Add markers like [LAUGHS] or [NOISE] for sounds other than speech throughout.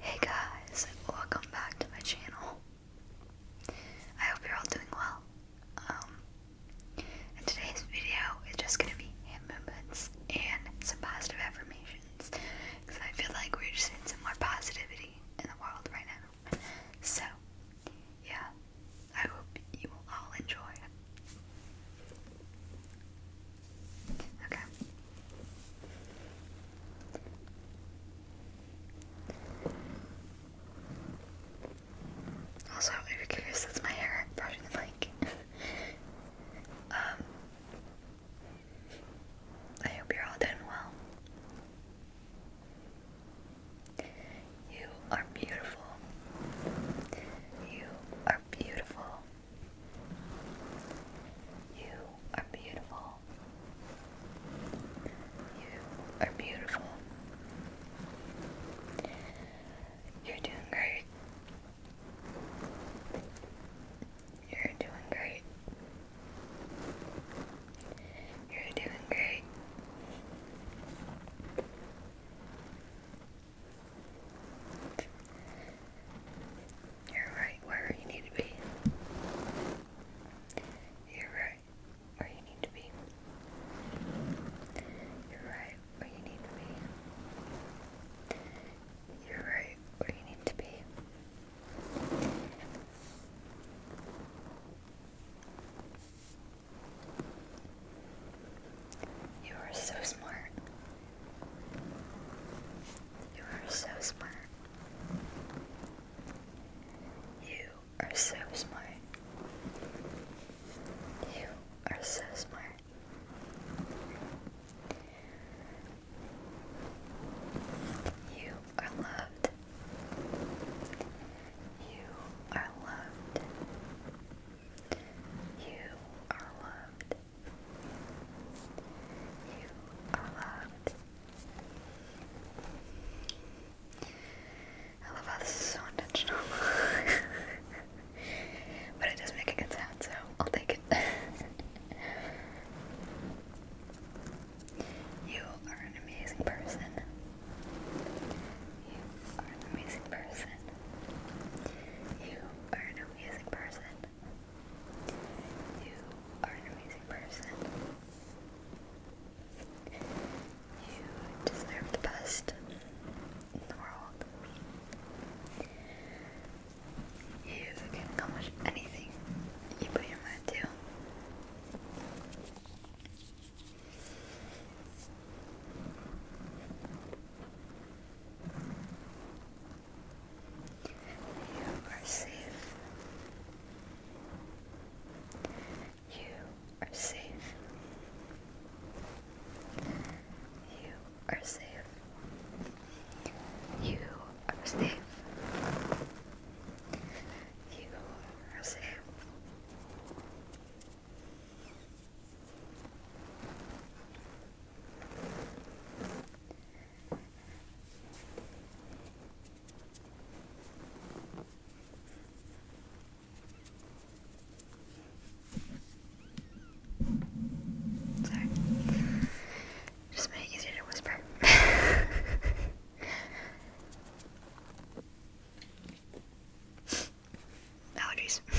Hey guys, welcome back to my channel. I hope you're all doing well. Um, today's video, it's just gonna be hand movements and some positive affirmations because I feel like we're just in some more positivity in the world right now. So, yeah, I hope you will all enjoy. Also, if you're curious, that's my hair brushing the mic. [LAUGHS] um, I hope you're all doing well. You are beautiful. You are beautiful. You are beautiful. You are beautiful. You're doing great. You're doing great. You're doing great. You're right where you need to be. You're right where you need to be. You're right where you need to be. You're right where you need to be. You are so smart. You are so smart. You are so smart. You are so smart. You are loved. You are loved. You are loved. You are loved. I love how this is so intentional. [LAUGHS] but it does make a good sound, so I'll take it. [LAUGHS] you are an amazing person. You are an amazing person. You are an amazing person. You are an amazing person. You deserve the best in the world. You can accomplish anything you put your mind to. You are safe. You are safe. You are safe. You are safe. You are safe. Sorry. Just made it easier to whisper. [LAUGHS] Allergies. [LAUGHS]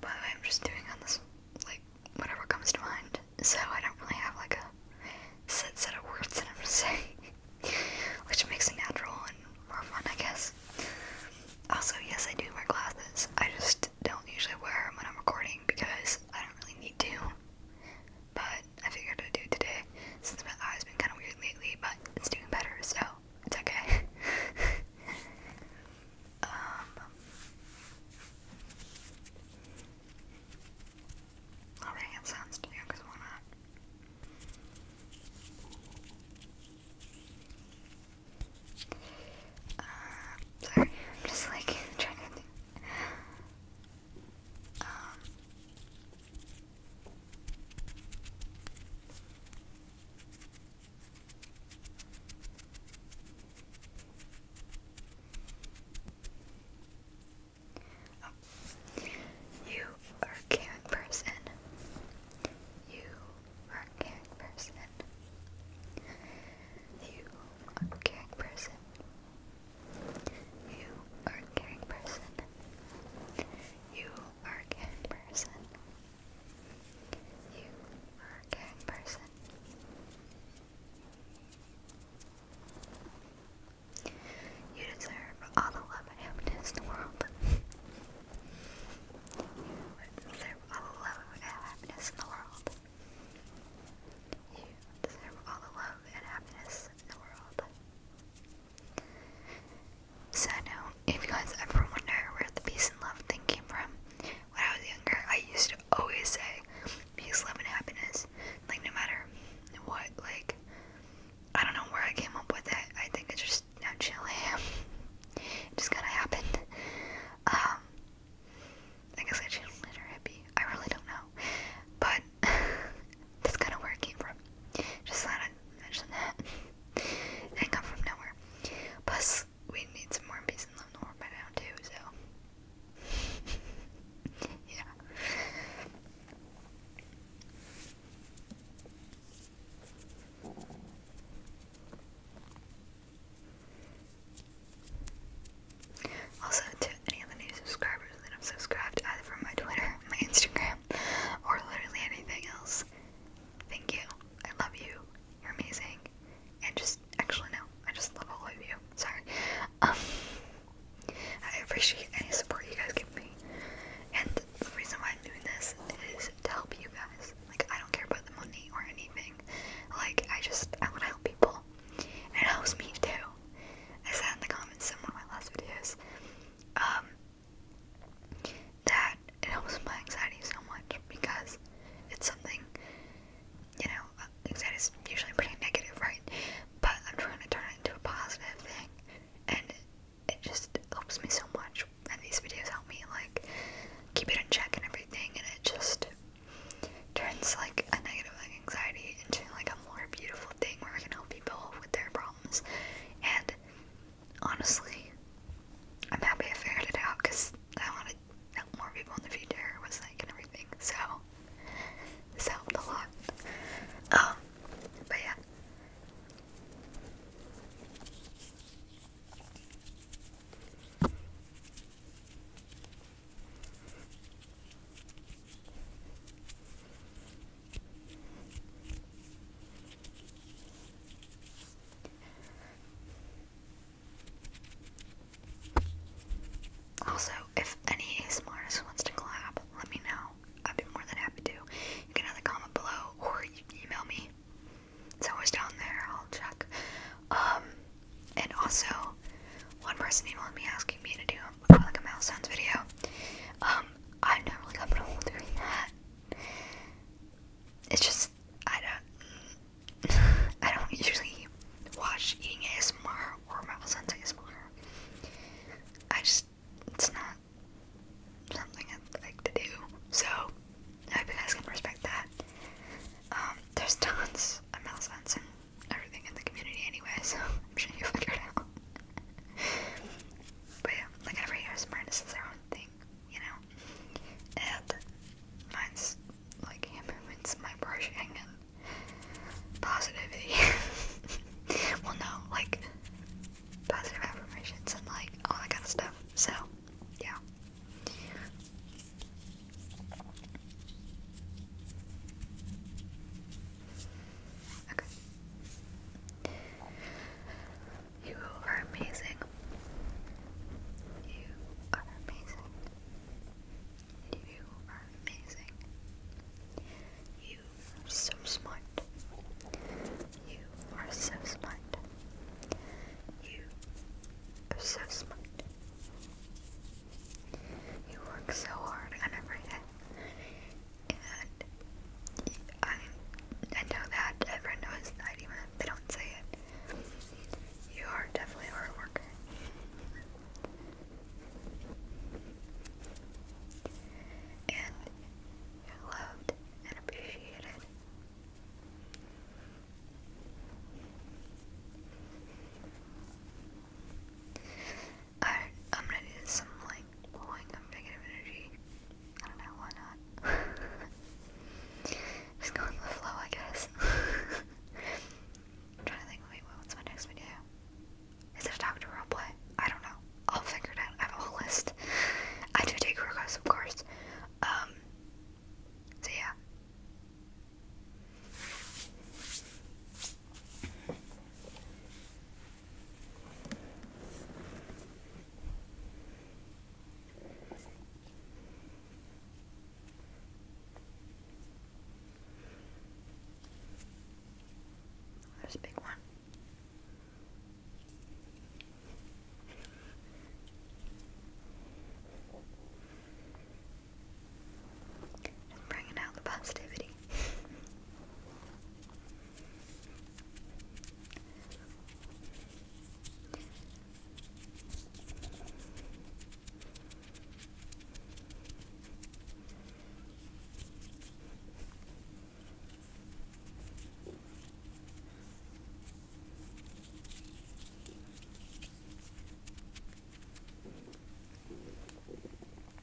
By the way, I'm just doing on this, like, whatever comes to mind. So I don't really have, like, a set set of words that I'm gonna say. [LAUGHS] Which makes it natural and more fun, I guess. Also, yes, I do wear glasses. I just don't usually wear them when I'm recording because I don't really need to. But I figured I'd do today since my eye's been kind of weird lately, but it's doing better, so it's okay. [LAUGHS] um, i sounds to because why not? Uh, sorry, I'm just like [LAUGHS] trying to Oh. You are a caring person. You are a caring person. You are a caring person. You are a caring person. You are a gang person. You are a gang person. You deserve all the love and happiness in the world. [LAUGHS] You deserve all the love and happiness in the world. You deserve all the love and happiness in the world. So now, if you guys ever wonder where the peace and love thing came from, when I was younger, I used to always say peace, love, and happiness. Like no matter what, like I don't know where I came up with it. I think it's just naturally [LAUGHS] it just kinda happened. Um I guess I channeled it or hippie. I really don't know. But [LAUGHS] That's kind of where it came from. Just thought that. [LAUGHS] it did from nowhere. Plus, we need some more peace and love in the world by too, so. [LAUGHS] yeah. Also, to any of the new subscribers, that I'm subscribed either from my Twitter, [LAUGHS] my Instagram, or literally anything else. Thank you. I love you. You're amazing. And just, actually, no, I just love all of you. Sorry. Um, I appreciate any support you guys give me. And the reason why I'm doing this is to help you guys. Like, I don't care about the money or anything. Like, I just, I want to help people. And it helps me too. I said in the comments in one of my last videos um, that it helps my anxiety so much because it's something, you know, anxiety is usually pretty negative, right? But I'm trying to turn it into a positive thing, and it just helps me so much. And these videos help me, like, keep it in check and everything, and it just turns, like, a negative anxiety into like a more beautiful thing where we can help people with their problems. And honestly, I'm happy I figured it out because I wanted to help more people in the future was like and everything. So this helped a lot. Um, but yeah. Also, if any ASMR wants to clap, let me know. I'd be more than happy to. You can either comment below or email me. It's always down there, I'll check. Um, and also, one person emailed me asking me to do kind of like a mouse sounds video. Um, I'm not really comfortable doing that. It's just I don't [LAUGHS] I don't usually watch eating or mouse sounds I just it's not something I like to do. So I hope you guys can respect that. Um, there's tons of mouse everything in the community anyway, so [LAUGHS] I'm sure you figure out. but yeah, like every ASMR is their own thing, you know? And like hand movements, my brushing, and positivity. [LAUGHS] well, no, like positive affirmations and like all that kind of stuff. So, yeah. You are amazing. You are amazing. You are amazing. You are so smart. You are so smart. You are so smart. You work so hard on And I, I know that. Everyone knows that, even if they don't say it. You are definitely a hard worker. And you're loved and appreciated. I, I'm gonna do some like blowing of negative energy. I don't know, why not? [LAUGHS] Just go with the flow, I guess. [LAUGHS] trying to think, wait, what's my next video? Is it a doctor roleplay? I don't know. I'll figure it out. I have a whole list. I do take requests, of course. Um, so yeah. There's a big one and bringing out the positivity.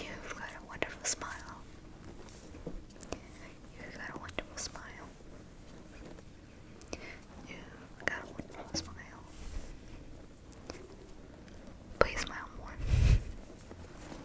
You've got a wonderful smile. You've got a wonderful smile. You've got a wonderful smile. Please smile more.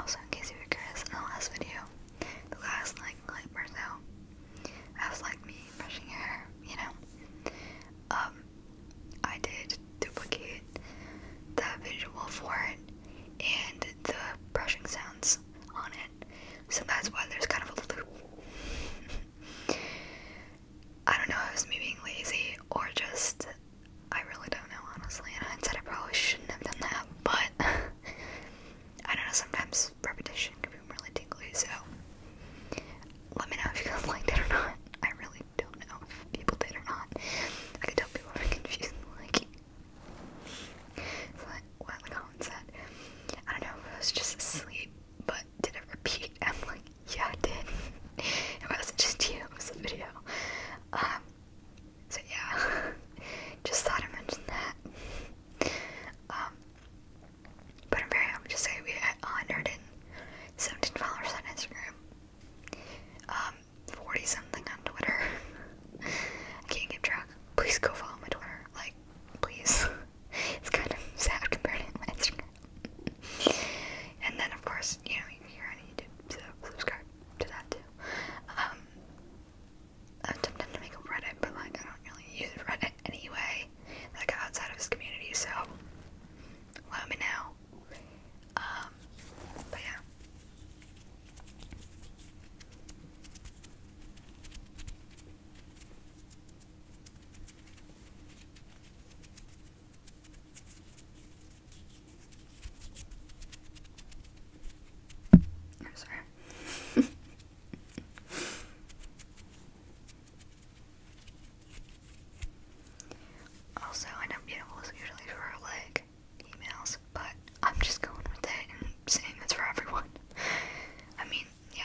Also, in case you were curious, in the last video, the last like light or so, as like me brushing hair, you know, um, I did duplicate the visual for it and the brushing sounds on it, so that's why there's kind of a loop. [LAUGHS] I don't know if it was me being lazy or just I really don't know honestly. And I said I probably shouldn't have done that, but [LAUGHS] I don't know. Sometimes repetition can be really tingly, so let me know if you guys [LAUGHS] liked it or not. I really don't know if people did or not. I could tell people are [LAUGHS] confused, like so like what the comment said. I don't know if was just sleep but did it repeat? [LAUGHS] I'm like, yeah, I did. [LAUGHS] it wasn't just you, it was the video. Um, so yeah, [LAUGHS] just thought I mentioned that. Um, but I'm very happy to say we had 117 followers on Instagram, um, 40 something on Twitter. can't keep track. Please go follow my Twitter, like, please it's kind of [LAUGHS] sad compared to Instagram. and then, of course, you know, you hear on YouTube, so subscribe to that too. Um, I'm tempted to make a Reddit, but like, I don't really use Reddit anyway, like outside of this community, so let me know. Um, but yeah. I'm sorry. [LAUGHS] also, I know beautiful is usually for like emails, but I'm just going with it and saying it's for everyone. [LAUGHS] I mean, yeah,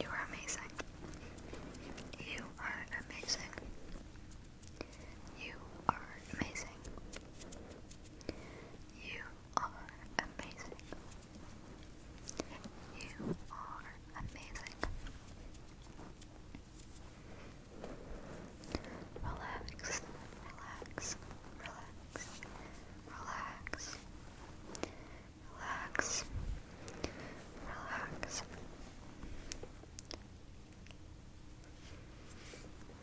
You are amazing. You are amazing. You are amazing. You are amazing. You are amazing. Relax, relax, relax, relax, relax, relax.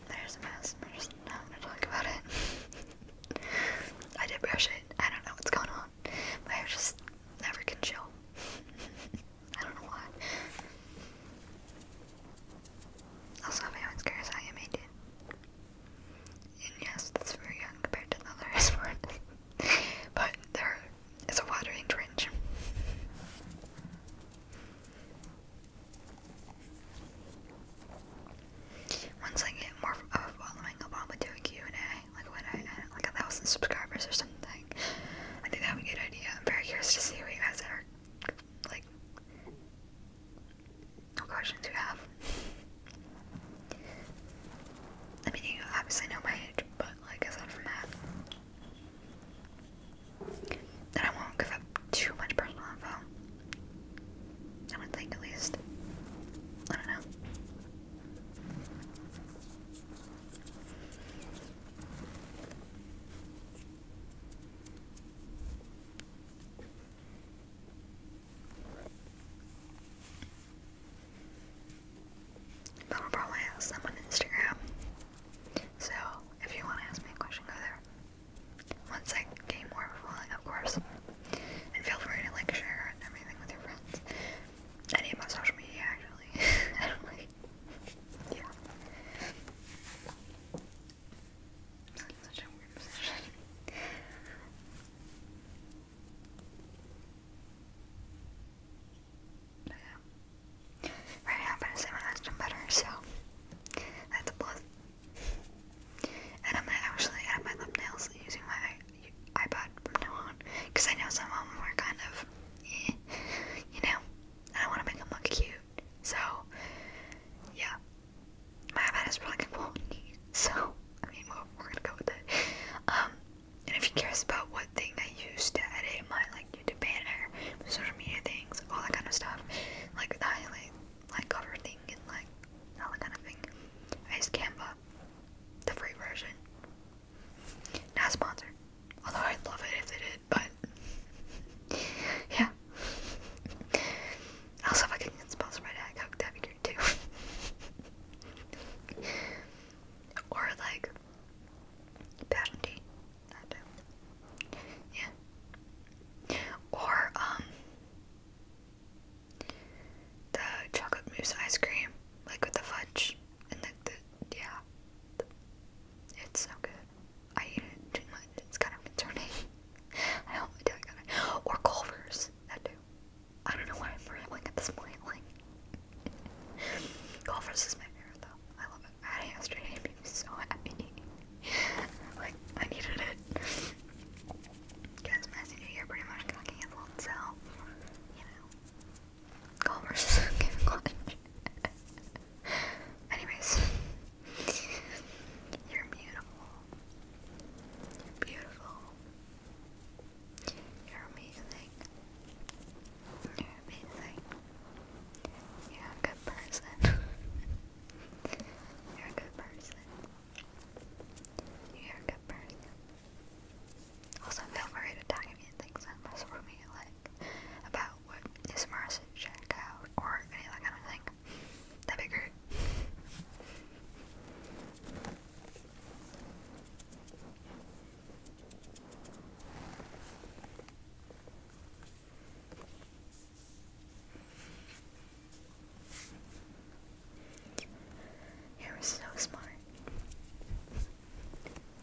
There's a mess, there's no i talk about it. [LAUGHS] I did brush it. I don't know what's going on. My just never can chill. [LAUGHS] I don't know why. Also, if anyone's curious, I am Indian. And yes, that's very young compared to other [LAUGHS] sport. but there is a watering trench. Once I get more of following up on with doing Q&A, like when I like a thousand subscribers or something, I think that would be a good idea. I'm very curious to see what you guys are, like, no questions do you have? I mean, you obviously know my age, but like aside from that, then I won't give up too much personal info. I would think at least. I don't know. That'll probably ask them on Instagram. So if you want to ask me a question, go there. Once I gain more following, of course. And feel free to like share and everything with your friends. I need my social media actually. [LAUGHS] yeah. That's such I'm gonna say my husband better, so that's a plus. And I'm actually add my thumbnails using my iPod from now on, because I know some of them were kind of, eh, you know, I want to make them look cute. So, yeah. My iPad has really good quality. So, I mean, we're, we're gonna go with it. Um, and if you're about what thing I use to edit my, like, YouTube banner, social media things, all that kind of stuff, like the highlight, like, cover thing, and, like, all that kind of thing, I Canva, the free version. Not sponsored. Although I'd love it if they but yeah. Also, if get sponsored by Diet Coke, that'd be good too. [LAUGHS] or like Passion Tea, that too. Yeah. Or um, the chocolate mousse ice cream, like with the fudge and the yeah, it's so good. I ate it too much. It's kind of concerning. [LAUGHS] I hope my dad got it. Or Culver's. That too. I don't know why I'm rambling at this point. [LAUGHS] Like, Culver's is my favorite though. I love it. I had it yesterday. It made me so happy. [LAUGHS] like, I needed it. Because Messy you're pretty much gonna cancel so, you know. Culver's Anyways, you're beautiful. You're beautiful. You're amazing. You're amazing. You're a good person. [LAUGHS] You're a good person. You're a good person. Also, feel free to tag me and things that mess with me like about what is Marcy check out or any of kind of thing. That'd be great. You're so smart.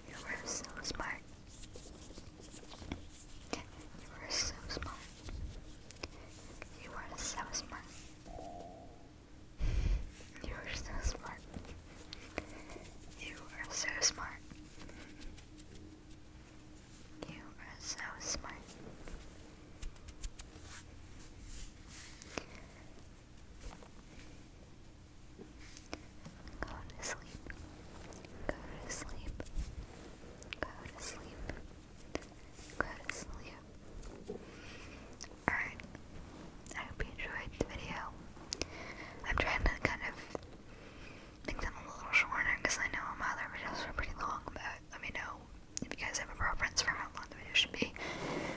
You're so smart. You are so smart. You are so smart. You are so smart. You are so smart. You are so smart. Go to sleep. Go to sleep. Go to sleep. Go to sleep. Alright. I hope you enjoyed the video. I'm trying to kind of make them a little shorter because I know my other videos are pretty long, but let me know if you guys have a preference for how long the video should be.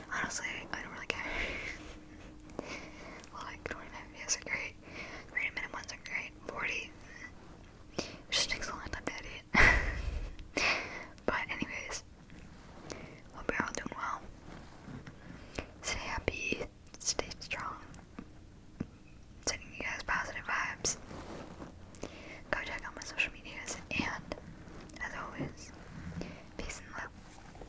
Honestly, I don't really care. [LAUGHS] like 25 videos are great. 30 minute are great. 40. It takes a long time to edit. [LAUGHS] but anyways, hope you're all doing well. Stay happy, stay strong. Sending you guys positive vibes. Go check out my social medias and as always, peace and love.